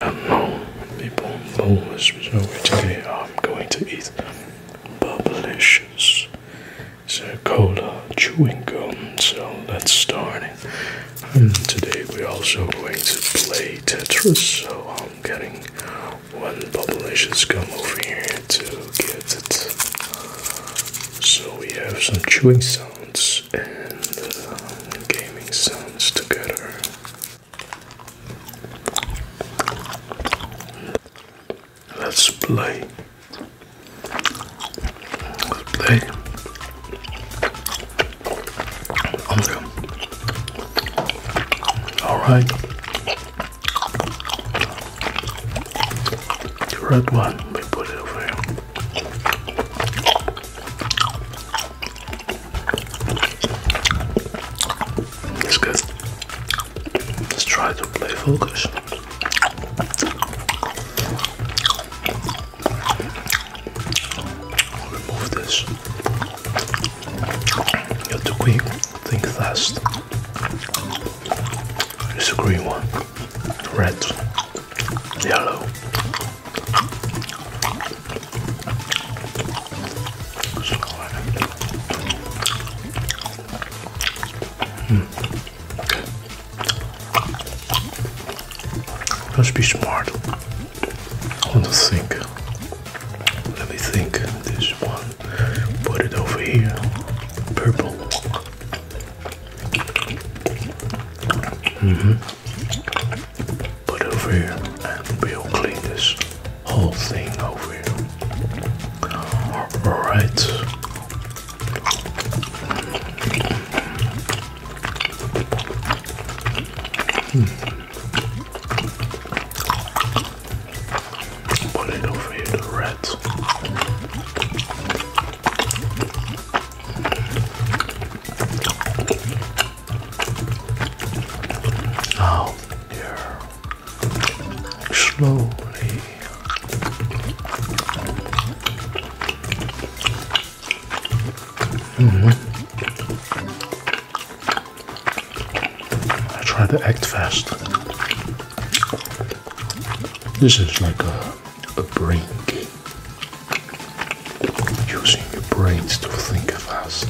Hello people, so today I'm going to eat Bubblicious. It's a cola uh, chewing gum, so let's start. And hmm, today we're also going to play Tetris, so I'm getting one Bubblicious gum over here to get it. So we have some chewing sounds and uh, gaming sounds together. Let's play. Let's play. Okay. All right. red one. We put it over here. It's good. Let's try to play focus. remove this. You're too quick. Think fast. It's a green one, red, yellow. Mm. Let's be smart. I want to think. Let me think. This one. Put it over here. Purple. Mm -hmm. Put over here and we'll clean this whole thing over here. Alright. Hmm. Put it over here, the rats. Now slowly. -hmm. I try to act fast. This is like a a brain using your brains to think fast.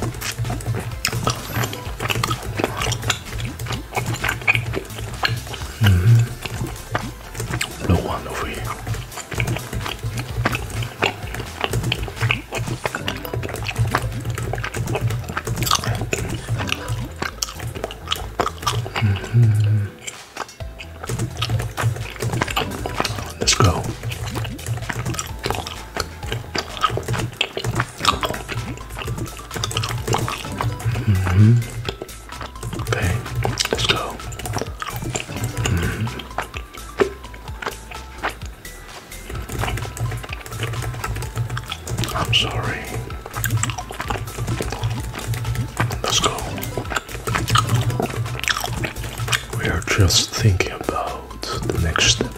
Mm mm-hmm. No one over here. Mm-hmm. Let's go. Okay, mm-hmm. let's go. I'm sorry. Let's go. We are just thinking about the next step.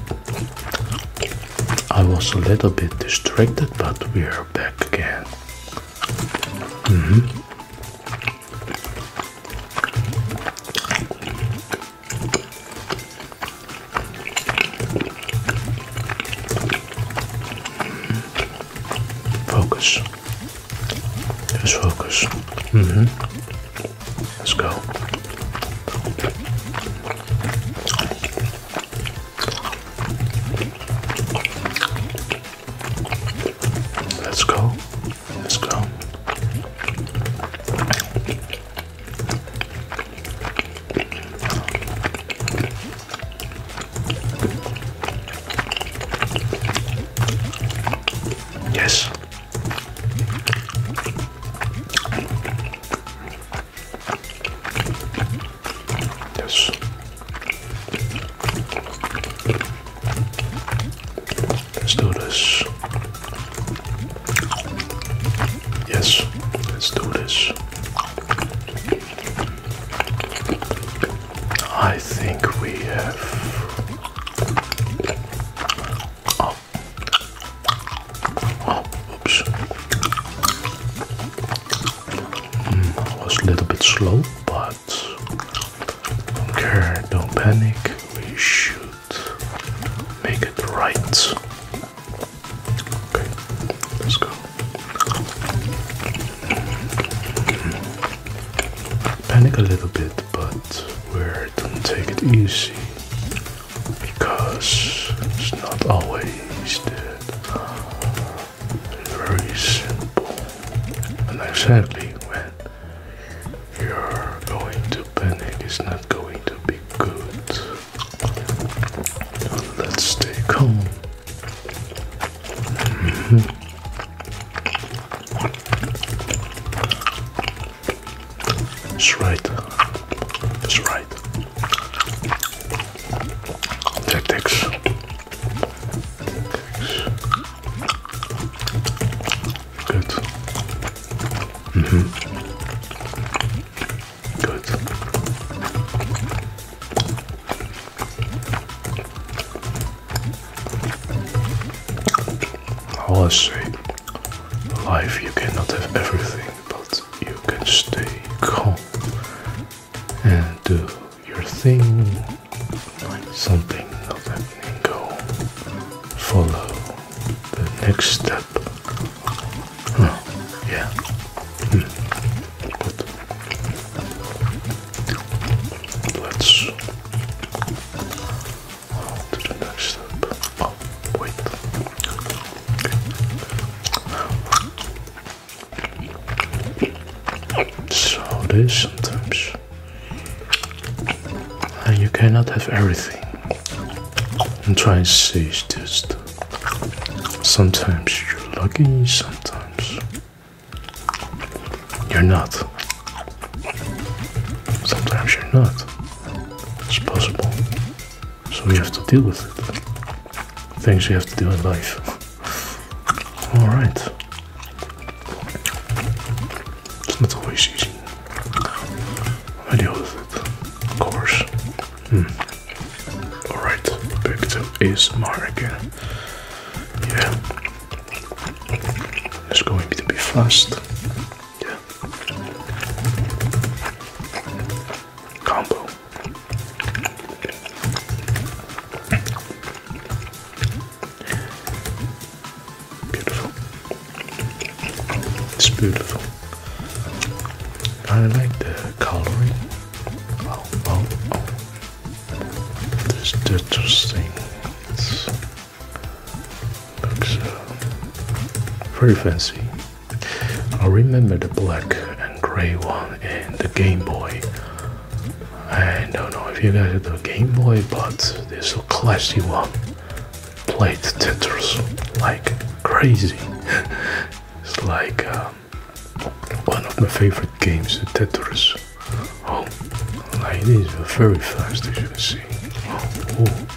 I was a little bit distracted, but we are back again. Mm-hmm. Focus. Just focus. -hmm. Let's go. Let's go. Let's go. Yes. Yes. let's do this. Yes, let's do this. I think we have oops. Hmm, was a little bit slow, but okay, don't panic. We should make it right. Okay, let's go. Panic a little bit but we're gonna take it easy because it's not always that very simple. And sadly, when you're going to panic, it's not going to be good. Let's stay calm. Mm-hmm. That's right. That's right. Tactics. Good. Mm -hmm. Good. All is life you cannot have everything, but you can stay calm and do your thing. Something not happening, go follow the next step. Oh, yeah. But let's Oh, wait. So it is sometimes. And you cannot have everything. And try and to this. it's sometimes you're lucky, sometimes you're not. Sometimes you're not. It's possible. So you have to deal with it. Things you have to do in life. Alright. It's not always easy. I deal with it. Of course. Hmm. Alright, back to Ismar again. Yeah. It's going to be fast. Combo. Beautiful. It's beautiful. I like the coloring. Oh, oh, oh. This interesting. Looks uh, very fancy. I remember the black and gray one and the Game Boy. I don't know if you guys have the Game Boy, but this classy one played Tetris like crazy. it's like um, one of my favorite games, Tetris. Oh, like this, very fast as you can see. Oh,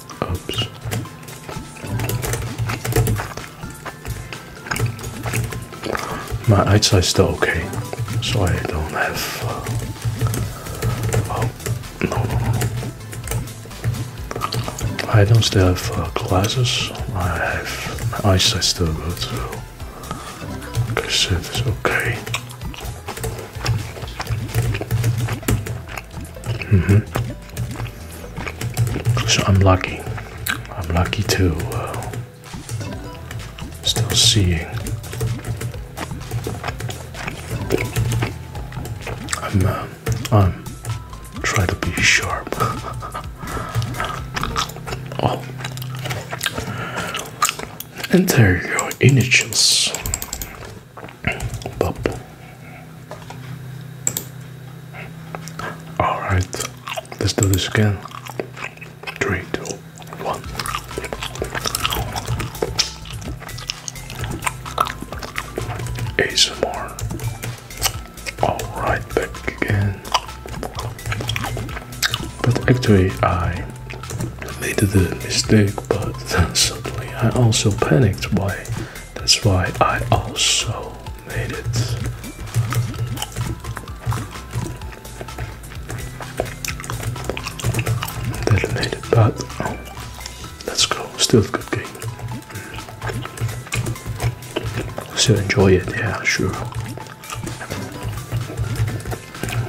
Oops. My eyesight's still okay, so I don't have. Uh, oh no, no, no! I don't still have uh, glasses. I have my eyesight's still good. So. Okay, so it's okay. Mm -hmm. So I'm lucky. I'm lucky to uh, still seeing. I'm uh, I'm trying to be sharp. oh, enter your initials. Bump. All right, let's do this again. Three, two, one. ASMR. All right, back again. But actually, I made the mistake, but then suddenly I also panicked. Why? That's why I also made it. That made it, but let's go. Still good game. Still enjoy it, yeah, sure.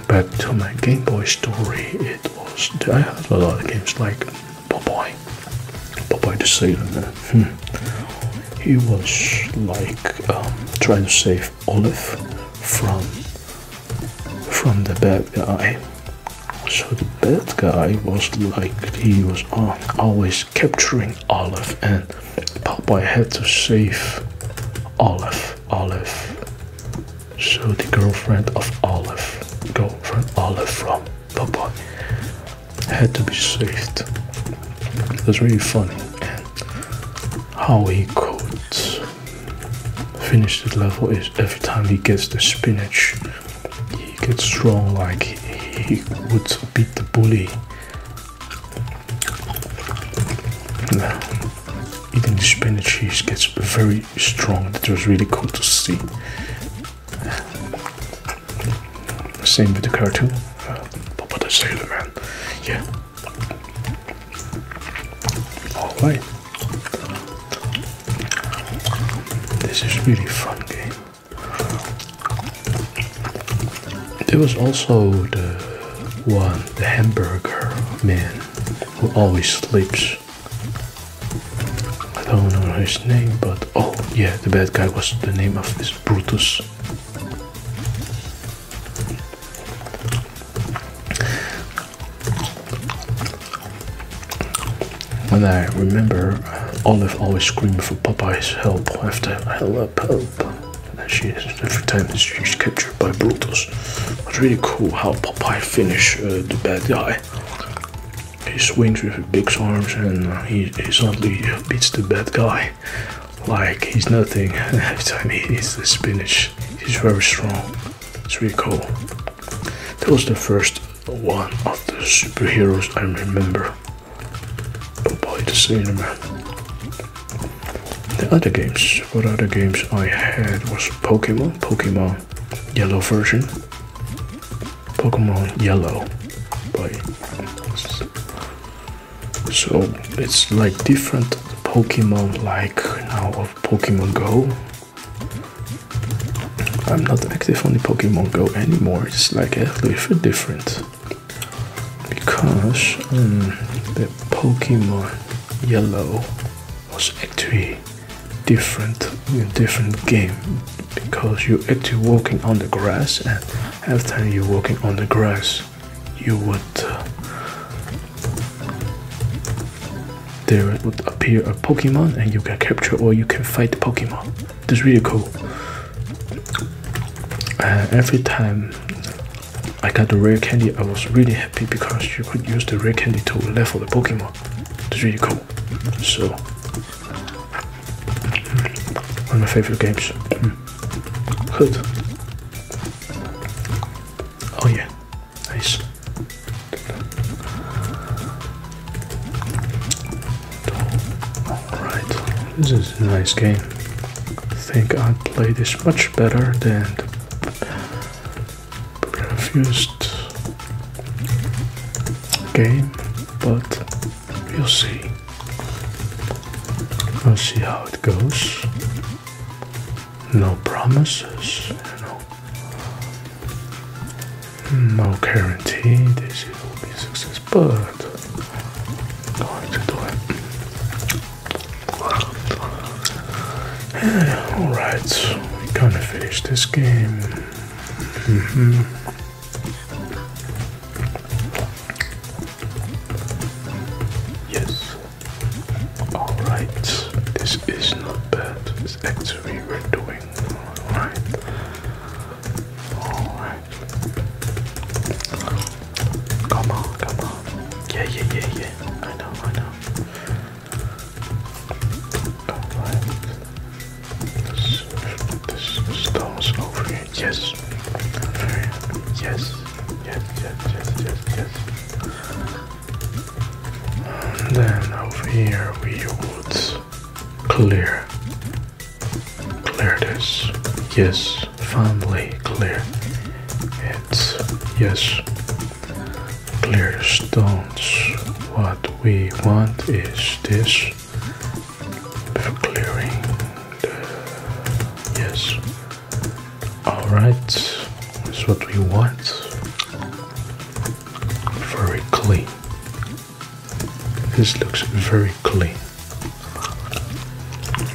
Back to my Game Boy story, it was. I had a lot of games like Papa, bye. Bye bye He was like um, trying to save Olive from from the bad guy. So the bad guy was like he was always capturing Olive, and Papa had to save Olive. Olive so the girlfriend of Olive, girlfriend Olive from Popeye, had to be saved. That's really funny and how he could finish the level is every time he gets the spinach, he gets strong like he, would beat the bully. Even the spinach, he gets very strong. That was really cool to see. Same with the cartoon. Uh, Papa the Sailor Man. Yeah. Alright. This is really fun game. There was also the one, the hamburger man, who always sleeps. I don't know his name, but oh yeah, the bad guy was the name of this Brutus. And I remember, Olive always screamed for Popeye's help after help, help. And she is every time she's captured by Brutus. It's really cool how Popeye finish uh, the bad guy. He swings with big arms and uh, he, he suddenly beats the bad guy like he's nothing. Every time he eats the spinach, he's very strong. It's really cool. That was the first one of the superheroes I remember. Popeye the Sailor The other games, what other games I had was Pokemon, Pokemon Yellow version, Pokemon Yellow, but so it's like different Pokemon like now of Pokemon Go. I'm not active on the Pokemon Go anymore. It's like a little different because um, the Pokemon Yellow was actually different different game because you actually walking on the grass and every time you walking on the grass you would uh, there would appear a Pokemon and you can capture or you can fight Pokemon It's really cool and every time I got the rare candy I was really happy because you could use the rare candy to level the Pokemon It's really cool so, one of my favorite games. Hmm. Good. Oh yeah, nice. Alright, this is a nice game. I think I'd play this much better than refused game, but we'll see. We'll see how it goes. No promises, No guarantee this will be success, but going to do it. Eh, Alright, we kinda finished this game. Yes. All right. This is not bad. It's actually we're doing all right. All right. Come on, come on. Yeah, yeah, yeah, yeah. I know, I know the stones over here. Yes. Yes. Yes. Yes. Yes. Yes. And then over here we would clear. Clear this. Yes. Finally clear. It's yes clear stones. What we want is this clearing. Yes. All right. Is what we want. Very clean. This looks very clean.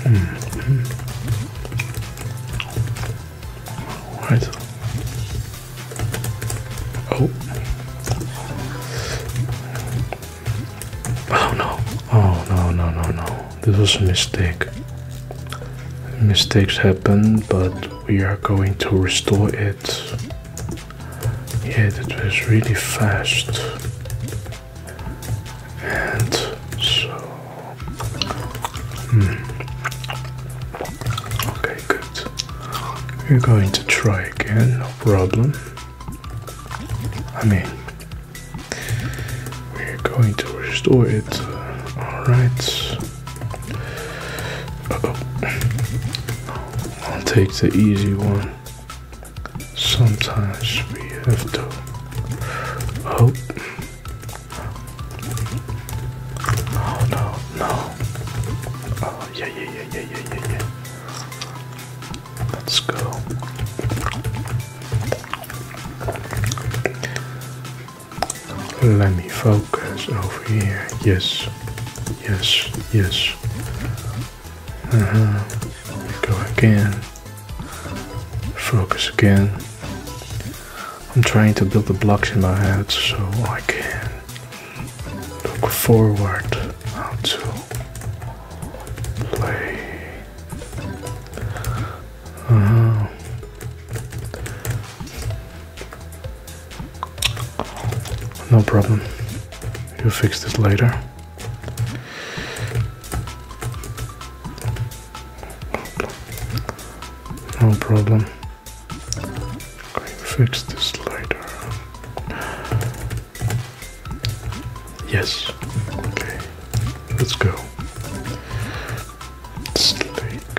-hmm. All right. Oh. Oh no. Oh no, no, no, no. This was a mistake. Mistakes happen, but we are going to restore it. Yeah, that was really fast. And so. Hmm. Okay, good we're going to try again, no problem. I mean, we're going to restore it. Alright. -oh. I'll take the easy one. Sometimes we have to hope. No, oh, no, no. Oh, yeah, yeah, yeah, yeah, yeah, yeah, Let's go. Let me focus over here. Yes, yes, yes. Uh huh. Go again. Focus again. I'm trying to build the blocks in my head so I can look forward to play. Uh-huh. No problem. You fix this later. No problem. I fix this later. Yes. Okay. Let's go. Sleek.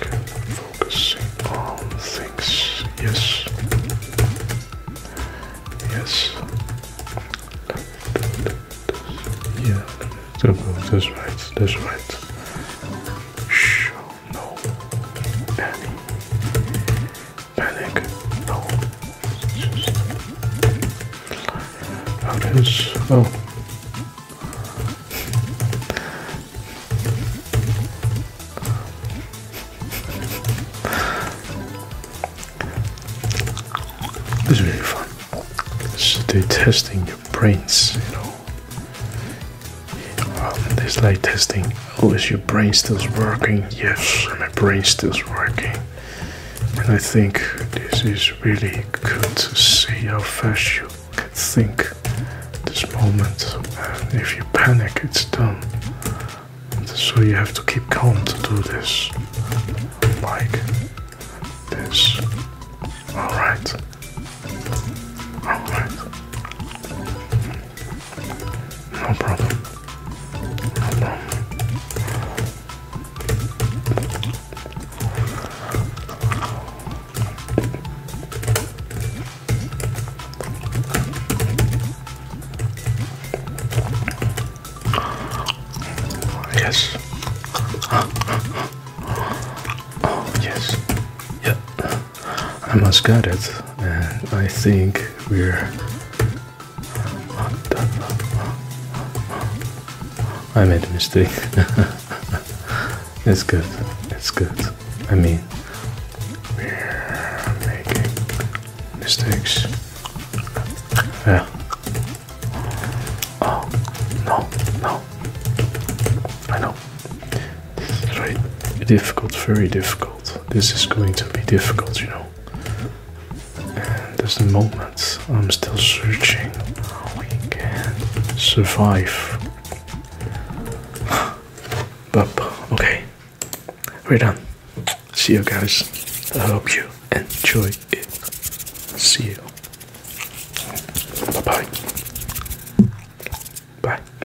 Focusing on things. Yes. Yes. Yeah. That's right. That's right. Show no. Panic, panic, no. How does oh? This is really fun. So they're testing your brains, you know. Oh, this light testing. Oh, is your brain still working? Yes, my brain stills working. And I think this is really good to see how fast you can think this moment. if you panic, it's done. So you have to keep calm to do this. Like this. Alright. Alright. No problem. Yes. Oh yes. Yep. I must get it, and uh, I think we're. I made a mistake. it's good. It's good. I mean, we're making mistakes. Yeah. Oh no, no. I know. Right? Difficult, very difficult. This is going to be difficult, you know. And there's the moment I'm still searching how we can survive. but okay. We're done. See you guys. I hope you enjoy it. See you. bye. Bye.